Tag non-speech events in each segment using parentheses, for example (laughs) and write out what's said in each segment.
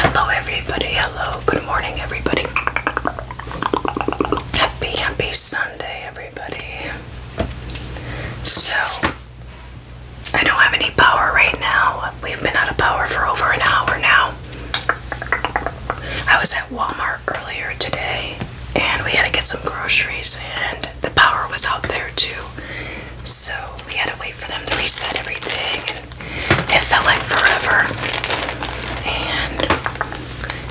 Hello, everybody. Hello. Good morning, everybody. Happy, happy Sunday, everybody. So, I don't have any power right now. We've been out of power for over an hour now. I was at Walmart earlier today and we had to get some groceries, and the power was out there too. So, we had to wait for them to reset everything, it felt like forever. And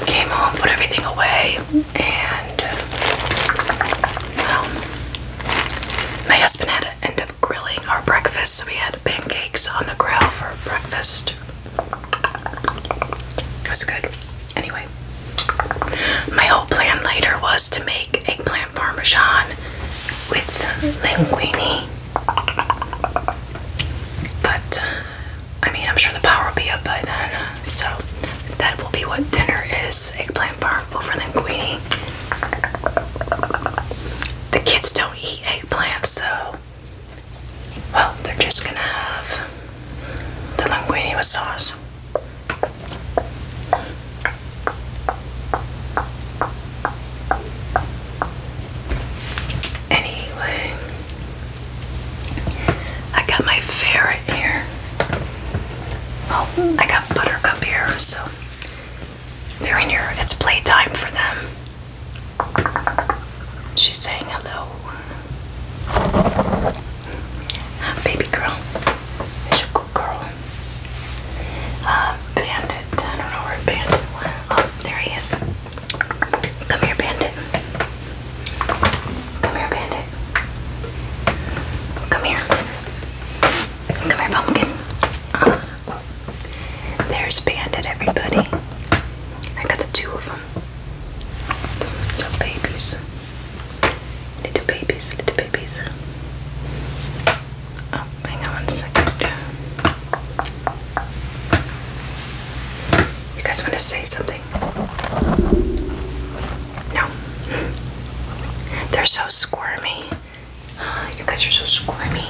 came home, put everything away, and um, my husband had to end up grilling our breakfast, so we had pancakes on the grill for breakfast. It was good. Anyway, my whole plan later was to make eggplant parmesan with linguine. But I mean, I'm sure the power will be up by then, so that will be what dinner is eggplant parm over linguine. The kids don't eat eggplant, so well, they're just gonna have the linguine with sauce. Anyway, I got my ferret here. Oh, I got buttercup here, so they're in here. It's playtime for them. She's saying hello. Ah, baby girl, girl. Uh, bandit. I don't know where Bandit Oh, there he is. Come here, Bandit. Come here, Bandit. Come here. Come here, Pumpkin. Uh, there's Bandit, everybody. I got the two of them. The babies. Little babies, little babies. Oh, hang on a second. You guys want to say something? No. (laughs) They're so squirmy. (gasps) you guys are so squirmy.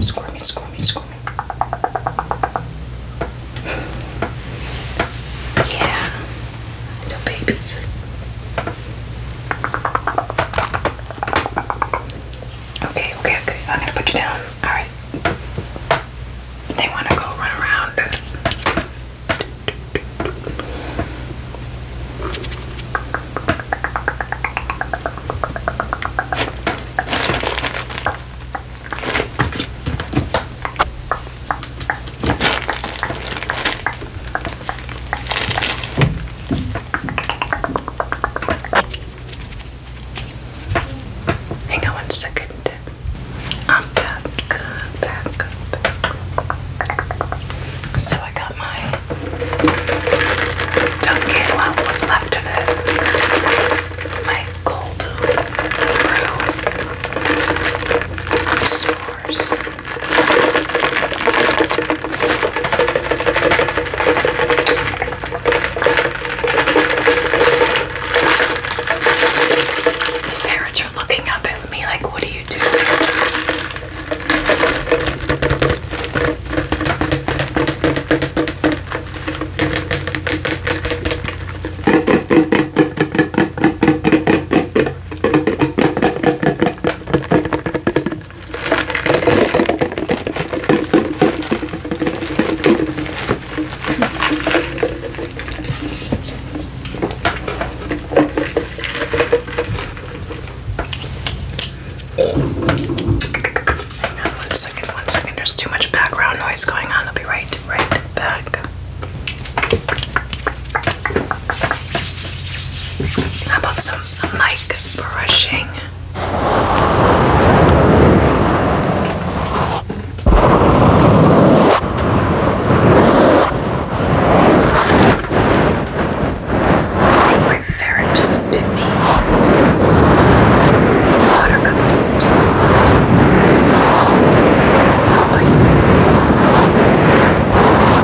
Squirmy, squirmy, squirmy. (laughs) Yeah. Little babies. Okay, okay, okay. I'm gonna put you down. Alright. They wanna go run around. Hang on one second. I'm back, So I got my tongue in, what's left of it. My cold brew. S'mores. The ferrets are looking up at me like, what are you doing? one second, one second. There's too much background noise going on. I'll be right, right back. How about some mic brushing? my ferret just bit me. Buttercup. Oh,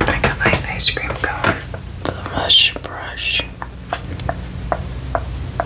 I got my ice cream cone for brush.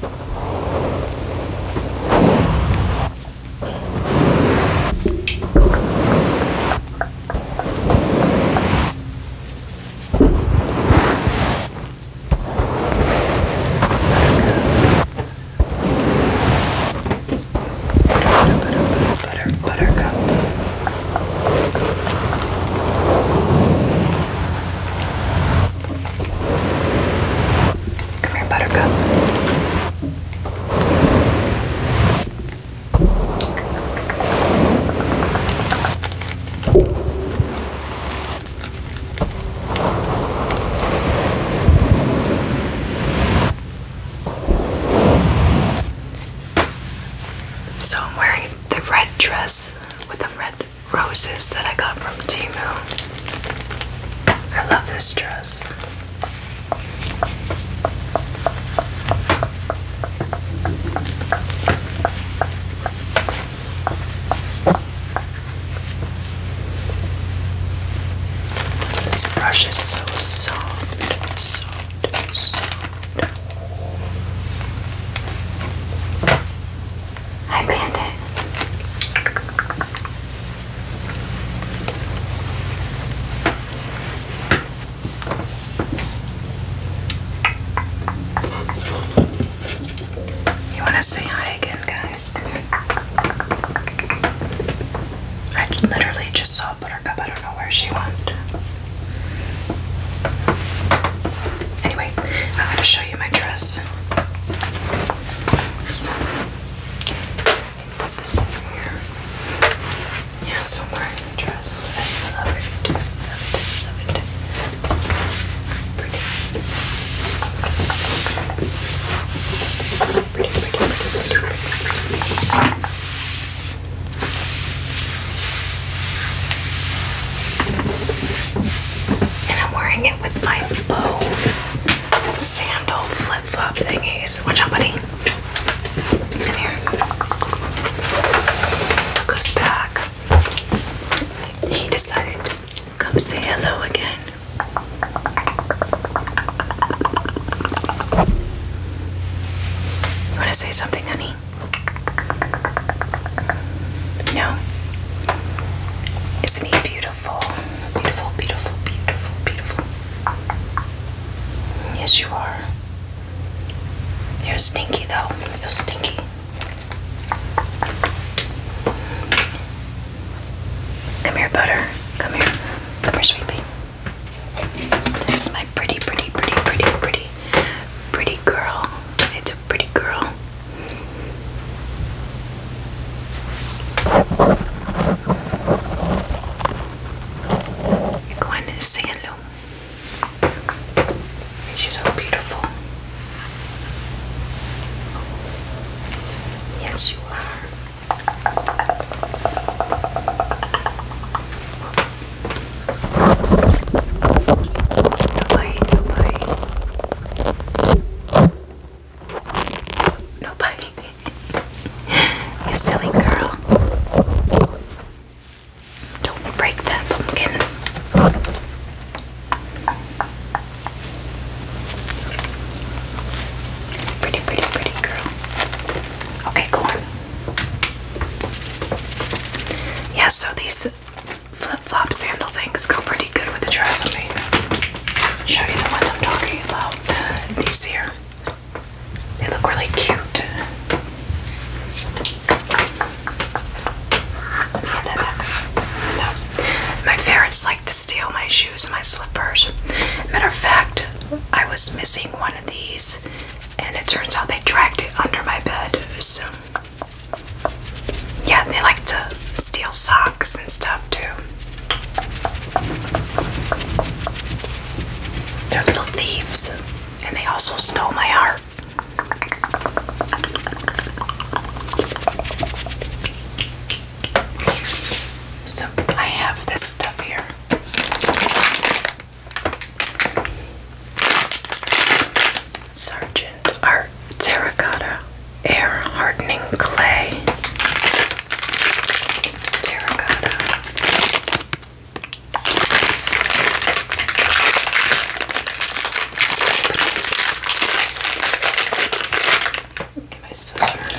Butter, butter, butter, buttercup. Come here, Buttercup. So I'm wearing the red dress with the red roses that I got from Timu. I love this dress. This brush is so soft, soft, soft. Hi, Bandit. You want to say hi again, guys? I literally just saw Buttercup. I don't know where she went. Anyway, I'm going to show you my dress. So, put this in here. Yeah, somewhere in the dress. I love it. Love Love it. Pretty. Pretty, pretty, pretty, pretty. pretty and I'm wearing it with my bow sandal flip flop thingies. Watch out, buddy. Come back. He decided to come say hello again. You want to say something, honey? No. Isn't he beautiful? Beautiful, beautiful, beautiful, beautiful. Yes, you are. You're stinky, though. You're stinky. Come here, butter. Come here. Come here, sweetie. This is my pretty, pretty, pretty, pretty, pretty, pretty girl. It's a pretty girl. Go in and sing hello. She's so beautiful. Yes, you are. Nobody, nobody. Nobody. you silly girl. Don't break that pumpkin. Pretty, pretty, pretty girl. Okay, go on. Yeah, so these flip-flop sandal things go pretty good with the dress. Let me show you the ones I'm talking about. Uh, these here. They look really cute. My ferrets like to steal my shoes and my slippers. Matter of fact, I was missing one of these, and it turns out they dragged it under my bed. So yeah, they like to steal socks and stuff too. They're little thieves, and they also stole my heart. So I have this stuff here. Sergeant Art Terracotta Air Hardening Clay. terracotta. Get my scissors.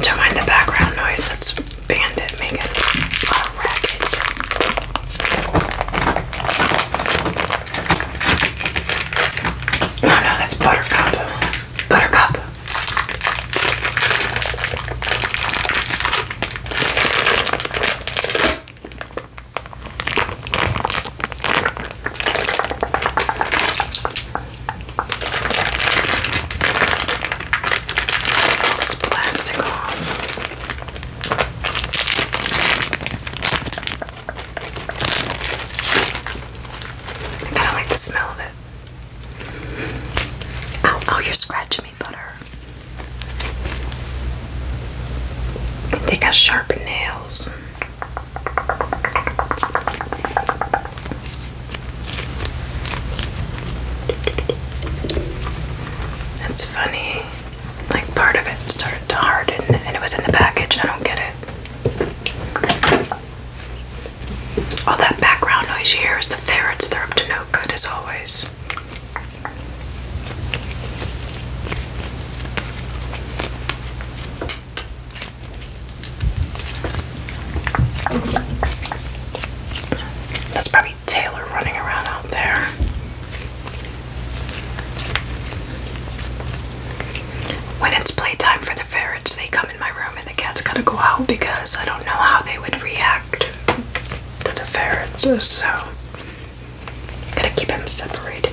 Don't mind the background noise, that's Bandit making a racket. Oh no, that's Buttercup. Buttercup. This plastic off. I kind of like the smell of it oh, you're scratching me, butter. They got sharp nails. That's funny. Like part of it started to harden and it was in the package. I don't get it. All that background noise you hear is the ferrets. They're up to no good as always. That's probably Taylor running around out there. When it's playtime for the ferrets, they come in my room and the cat's gotta go out because I don't know how they would react to the ferrets, so gotta keep them separated.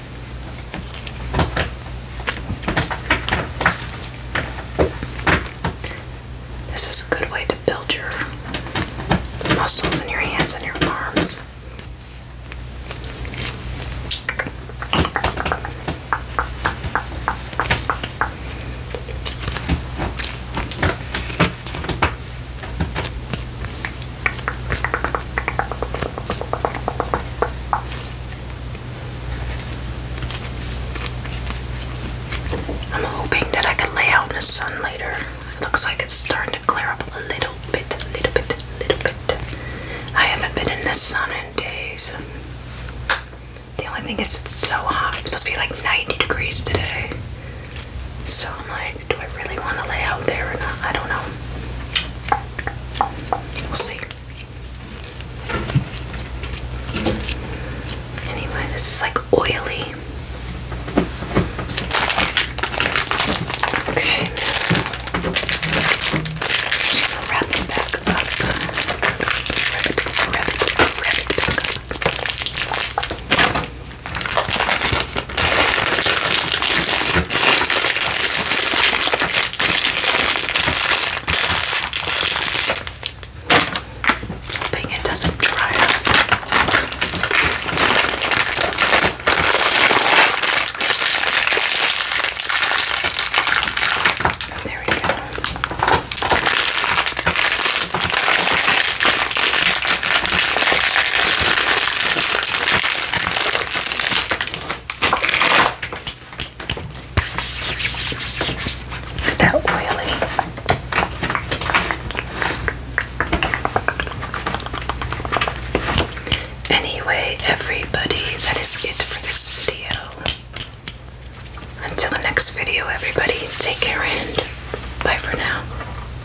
This is a good way to build your muscles in your hands and your arms. I'm hoping that I can lay out in the sun later. looks like it's starting to clear up a little bit, little bit, a little bit. I haven't been in the sun in days. The only thing is, it's so hot. It's supposed to be like 90 degrees today. So I'm like, do I really want to lay out there or not? I don't know. We'll see. Anyway, this is like oily. Okay, so wrap back up. Wrap it, wrap back up. Hoping it doesn't dry up. There we go. They're oily. Anyway, everybody, that is it for this video. Until the next video, everybody, take care and bye for now.